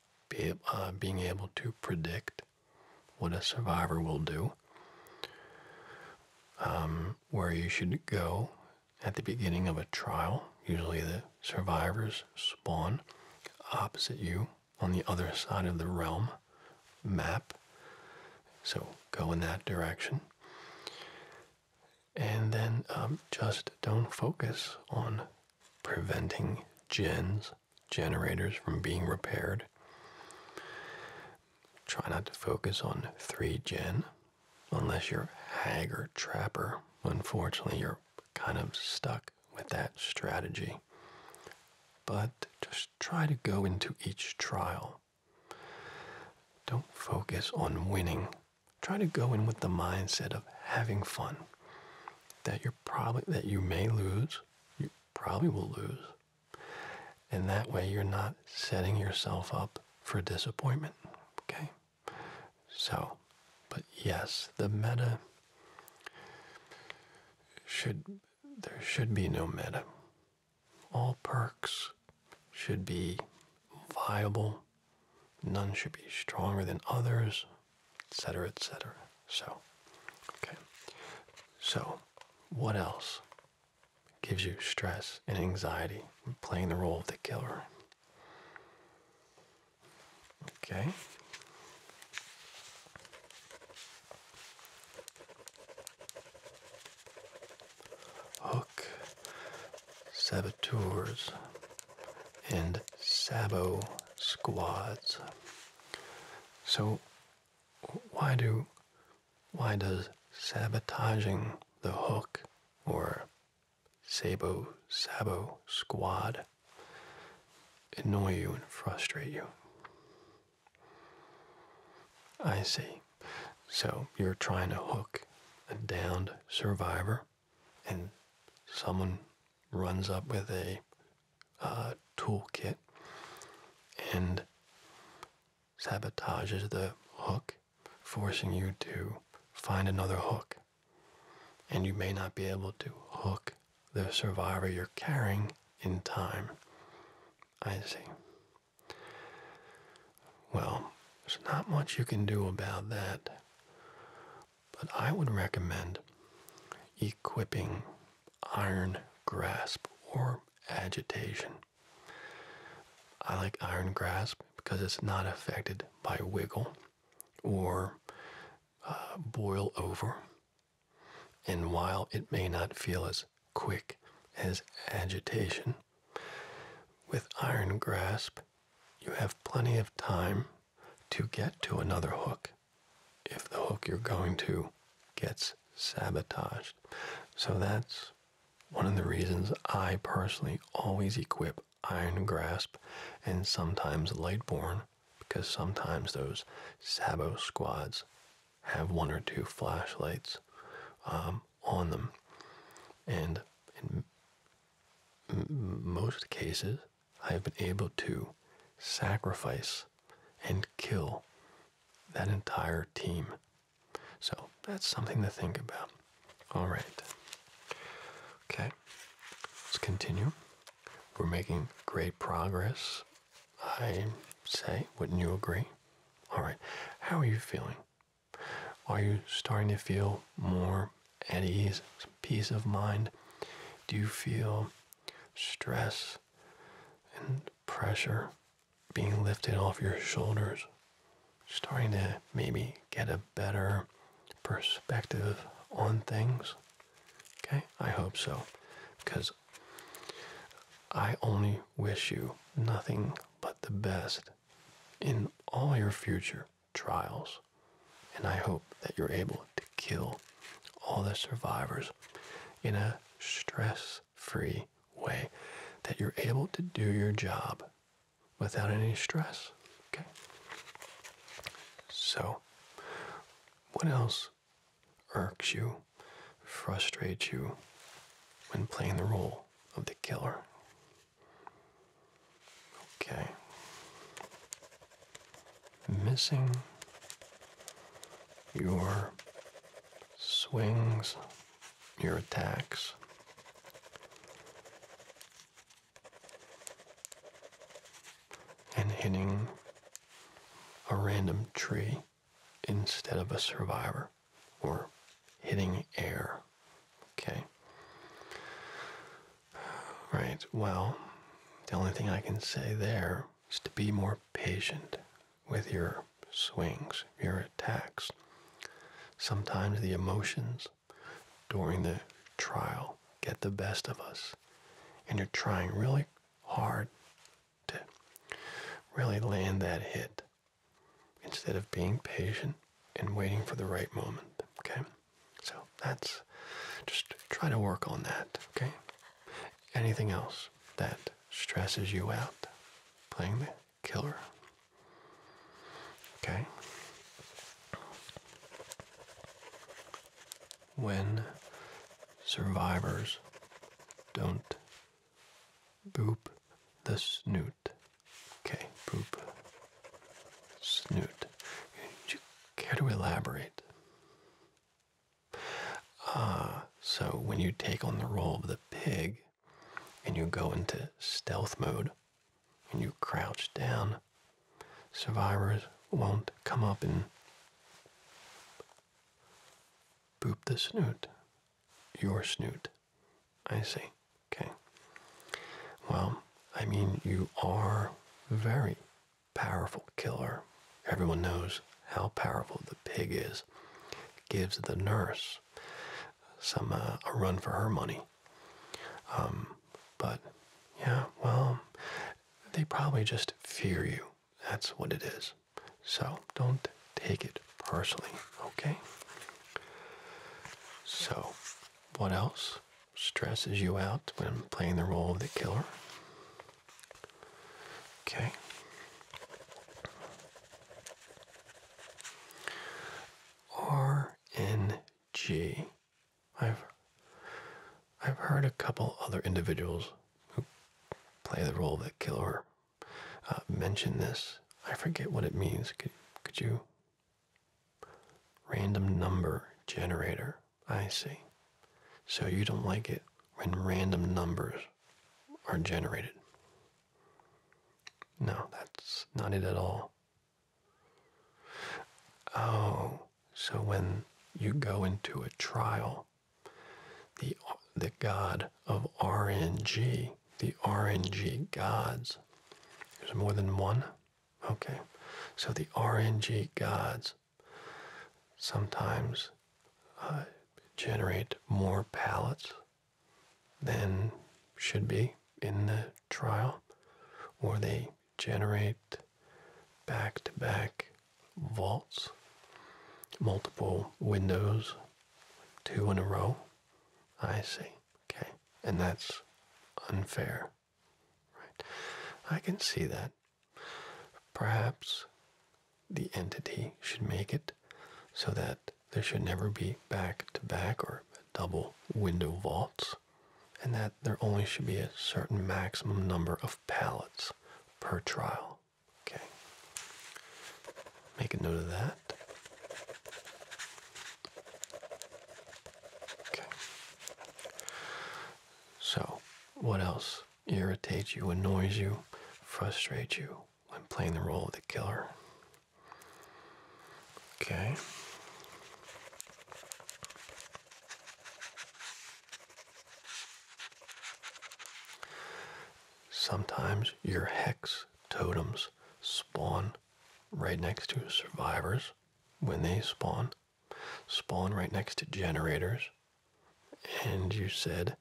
uh, being able to predict what a survivor will do um, where you should go at the beginning of a trial. Usually the survivors spawn opposite you on the other side of the realm map. So go in that direction. And then um, just don't focus on preventing gens, generators from being repaired. Try not to focus on 3 gen unless you're hag or trapper. Unfortunately, you're kind of stuck with that strategy. But just try to go into each trial. Don't focus on winning. Try to go in with the mindset of having fun. That you're probably that you may lose, you probably will lose, and that way you're not setting yourself up for disappointment. Okay? So, but yes, the meta should, there should be no meta. All perks should be viable. None should be stronger than others, etc., etc. So, okay. So, what else? gives you stress and anxiety, playing the role of the killer. Okay. Hook, saboteurs, and sabo squads. So, why do why does sabotaging the hook or sabo sabo squad annoy you and frustrate you? I see. So you're trying to hook a downed survivor, and someone runs up with a uh, toolkit and sabotages the hook, forcing you to find another hook. And you may not be able to hook the survivor you're carrying in time. I see. Well, there's not much you can do about that. But I would recommend equipping iron grasp or agitation I like iron grasp because it's not affected by wiggle or uh, boil over. And while it may not feel as quick as agitation, with iron grasp, you have plenty of time to get to another hook if the hook you're going to gets sabotaged. So that's one of the reasons I personally always equip Iron Grasp and sometimes Lightborne, because sometimes those Sabo squads have one or two flashlights um, on them, and in most cases, I have been able to sacrifice and kill that entire team so that's something to think about. All right. Okay, let's continue. We're making great progress, I say. Wouldn't you agree? All right, how are you feeling? Are you starting to feel more at ease, peace of mind? Do you feel stress and pressure being lifted off your shoulders, starting to maybe get a better perspective on things. Okay, I hope so, because I only wish you nothing but the best in all your future trials. And I hope that you're able to kill all the survivors in a stress free way that you're able to do your job without any stress. Okay. So, what else irks you, frustrates you when playing the role of the killer? Okay. Missing your swings your attacks. And hitting a random tree instead of a survivor or hitting air. Okay. Right. Well, the only thing I can say there is to be more patient with your swings, your attacks. Sometimes the emotions during the trial get the best of us, and you're trying really hard to really land that hit instead of being patient and waiting for the right moment. Okay? So that's just try to work on that. Okay? Anything else that stresses you out playing the killer. Okay? When survivors don't boop the snoot. Okay, boop snoot. Do you care to elaborate? Ah, so when you take on the role of the pig, and you go into stealth mode and you crouch down, survivors won't come up and boop the snoot. Your snoot. I see. Okay. Well, I mean, you are very powerful killer. Everyone knows how powerful the pig is. gives the nurse some uh, a run for her money. Um, but yeah, well, they probably just fear you. That's what it is. So don't take it personally, okay? So, what else stresses you out when playing the role of the killer? Okay. R have I've heard a couple other individuals who play the role of the killer uh, mention this. I forget what it means. Could could you? Random number generator. I see. So you don't like it when random numbers are generated. No, that's not it at all. Oh, so when you go into a trial, the the god of RNG, the RNG gods. There's more than one? Okay. So the RNG gods sometimes uh, generate more palettes than should be in the trial, or they generate back to back vaults, multiple windows, two in a row. I see. Okay. And that's unfair. Right. I can see that. Perhaps the entity should make it so that there should never be back to back or double window vaults, and that there only should be a certain maximum number of pallets per trial. Okay. Make a note of that. Okay. So, what else irritates you, annoys you, frustrates you when playing the role of the killer? Okay. Sometimes your hex totems spawn right next to survivors when they spawn, spawn right next to generators. And you said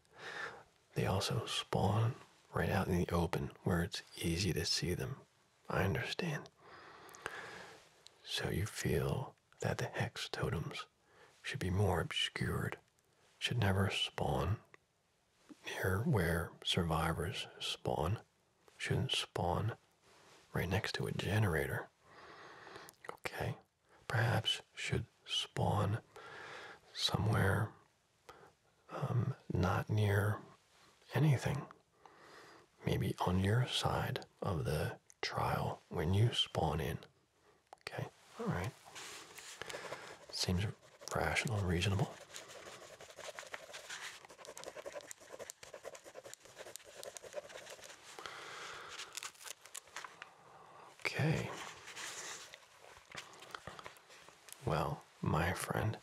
they also spawn right out in the open where it's easy to see them. I understand. So you feel that the hex totems should be more obscured, should never spawn near where survivors spawn, shouldn't spawn right next to a generator. Okay, perhaps should spawn somewhere um, not near anything. Maybe on your side of the trial when you spawn in. Okay, all right. Seems rational and reasonable. Okay. Well, my friend,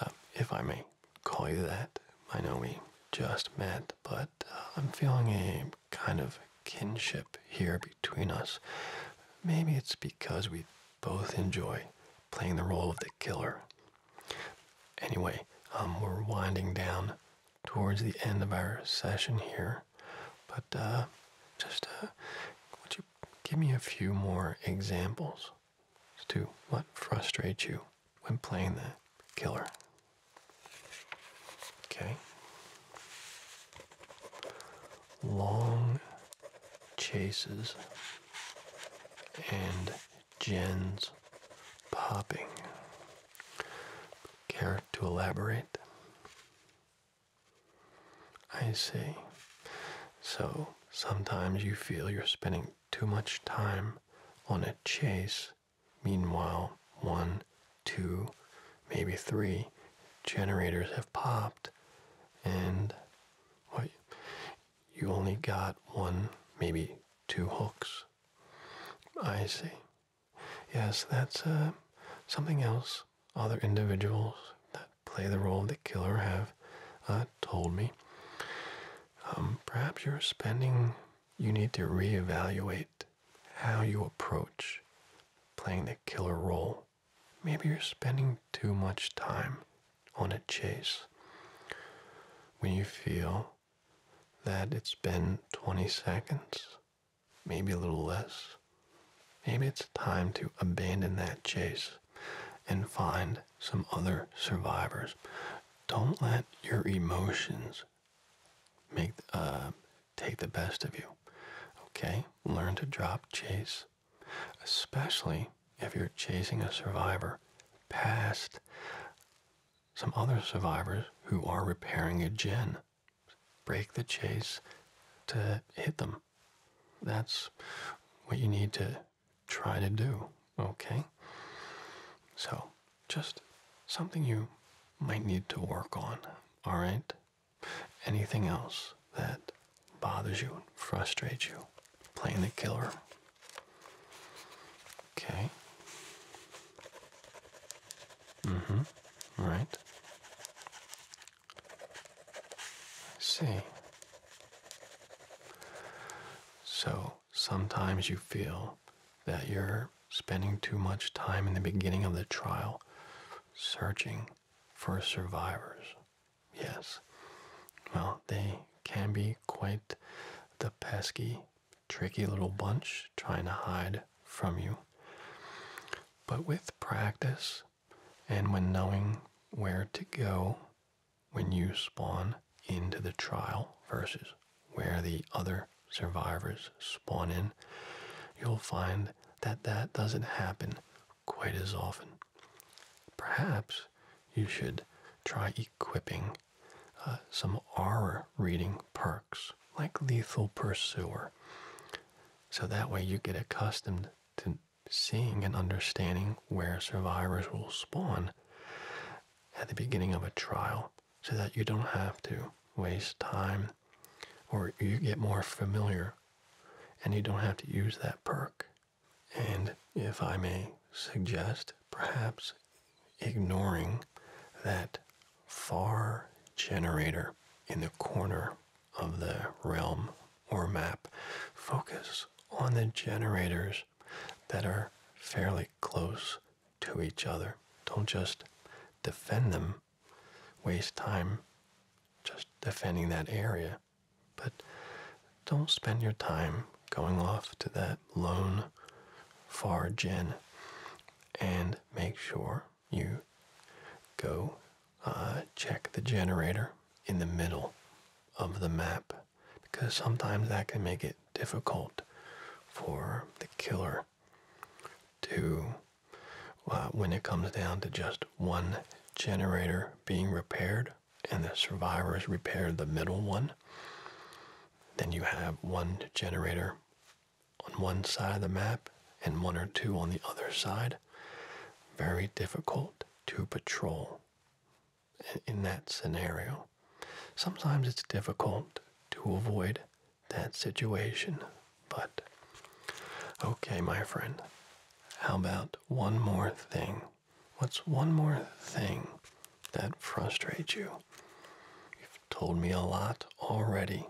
um, if I may call you that. I know we just met, but uh, I'm feeling a kind of kinship here between us. Maybe it's because we both enjoy playing the role of the killer. Anyway, um, we're winding down towards the end of our session here, but uh, just uh, would you give me a few more examples to what frustrates you when playing the killer. Okay. Long chases and gens popping. Care to elaborate? I see. So Sometimes you feel you're spending too much time on a chase. Meanwhile, one, two, maybe three generators have popped, and well, you only got one, maybe two hooks. I see. Yes, that's uh, something else. Other individuals that play the role of the killer have uh, told me. Um, perhaps you're spending, you need to reevaluate how you approach playing the killer role. Maybe you're spending too much time on a chase. When you feel that it's been 20 seconds, maybe a little less, maybe it's time to abandon that chase and find some other survivors. Don't let your emotions make uh, take the best of you. Okay, learn to drop chase, especially if you're chasing a survivor past some other survivors who are repairing a gin. Break the chase to hit them. That's what you need to try to do, okay? So, just something you might need to work on, all right? Anything else that bothers you, frustrates you, playing the killer. Okay. Mm-hmm. Right. see. So sometimes you feel that you're spending too much time in the beginning of the trial searching for survivors. Yes. Well, they can be quite the pesky, tricky little bunch trying to hide from you. But with practice and when knowing where to go when you spawn into the trial versus where the other survivors spawn in, you'll find that that doesn't happen quite as often. Perhaps you should try equipping uh, some aura reading perks like Lethal Pursuer. So that way you get accustomed to seeing and understanding where survivors will spawn at the beginning of a trial so that you don't have to waste time or you get more familiar and you don't have to use that perk. And if I may suggest, perhaps ignoring that far generator in the corner of the realm or map. Focus on the generators that are fairly close to each other. Don't just defend them, waste time just defending that area. But don't spend your time going off to that lone far gen and make sure you go uh, check the generator in the middle of the map because sometimes that can make it difficult for the killer to, uh, when it comes down to just one generator being repaired and the survivors repair the middle one, then you have one generator on one side of the map and one or two on the other side. Very difficult to patrol in that scenario. Sometimes it's difficult to avoid that situation, but okay, my friend, how about one more thing? What's one more thing that frustrates you? You've told me a lot already.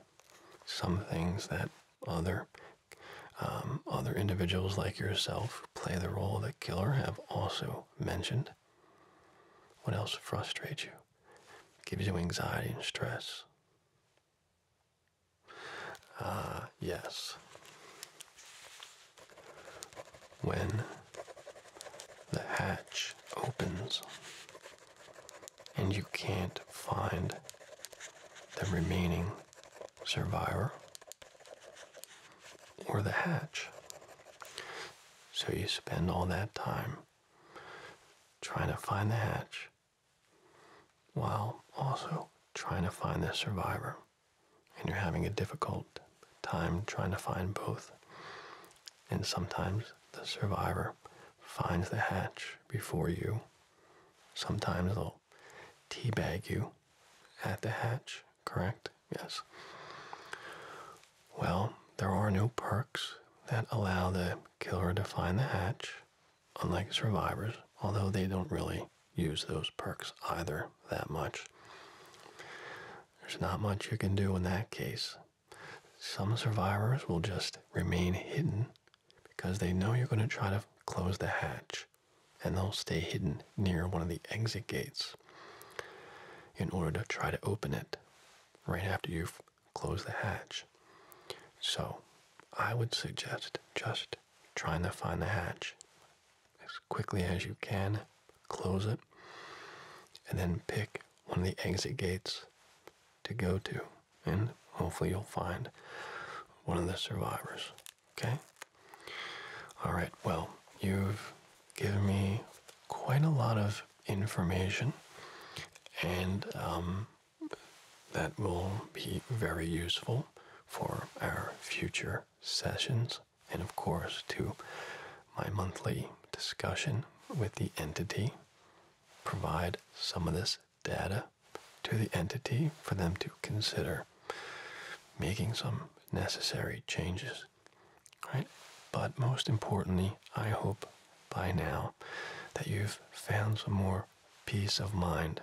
Some things that other um, other individuals like yourself play the role of the killer have also mentioned. What else frustrates you? Gives you anxiety and stress? Ah, yes. When the hatch opens and you can't find the remaining survivor or the hatch. So you spend all that time trying to find the hatch while also trying to find the survivor. And you're having a difficult time trying to find both. And sometimes the survivor finds the hatch before you. Sometimes they'll teabag you at the hatch correct? Yes. Well, there are no perks that allow the killer to find the hatch, unlike survivors, although they don't really use those perks either that much. There's not much you can do in that case. Some survivors will just remain hidden because they know you're going to try to close the hatch and they'll stay hidden near one of the exit gates in order to try to open it right after you've closed the hatch. So I would suggest just trying to find the hatch as quickly as you can, close it, and then pick one of the exit gates to go to, and hopefully you'll find one of the survivors. Okay? Alright, well, you've given me quite a lot of information, and um, that will be very useful for our future sessions, and of course, to my monthly discussion with the entity. Provide some of this data to the entity for them to consider making some necessary changes Right? But most importantly, I hope by now that you've found some more peace of mind.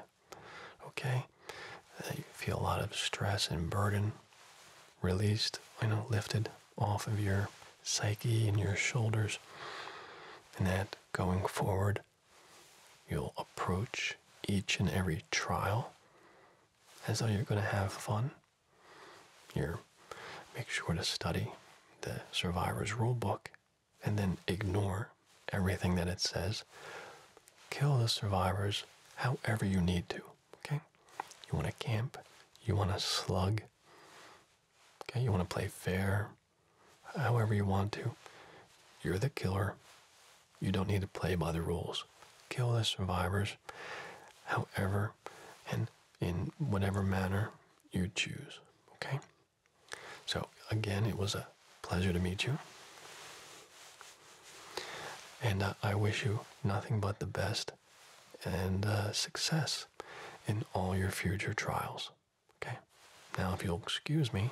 Okay? That you feel a lot of stress and burden released, you know, lifted off of your psyche and your shoulders. And that going forward, you'll approach each and every trial as though you're going to have fun. You're make sure to study the survivor's rule book and then ignore everything that it says. Kill the survivors however you need to. Okay? You want to camp, you want to slug, okay, you want to play fair, however you want to. You're the killer. You don't need to play by the rules. Kill the survivors however and in whatever manner you choose. Okay? So, again, it was a pleasure to meet you. And uh, I wish you nothing but the best and uh, success in all your future trials. Okay? Now, if you'll excuse me.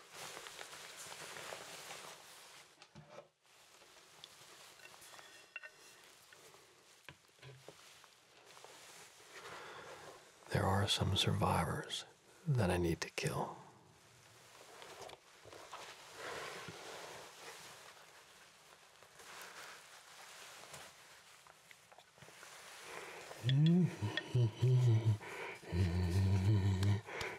There are some survivors that I need to kill.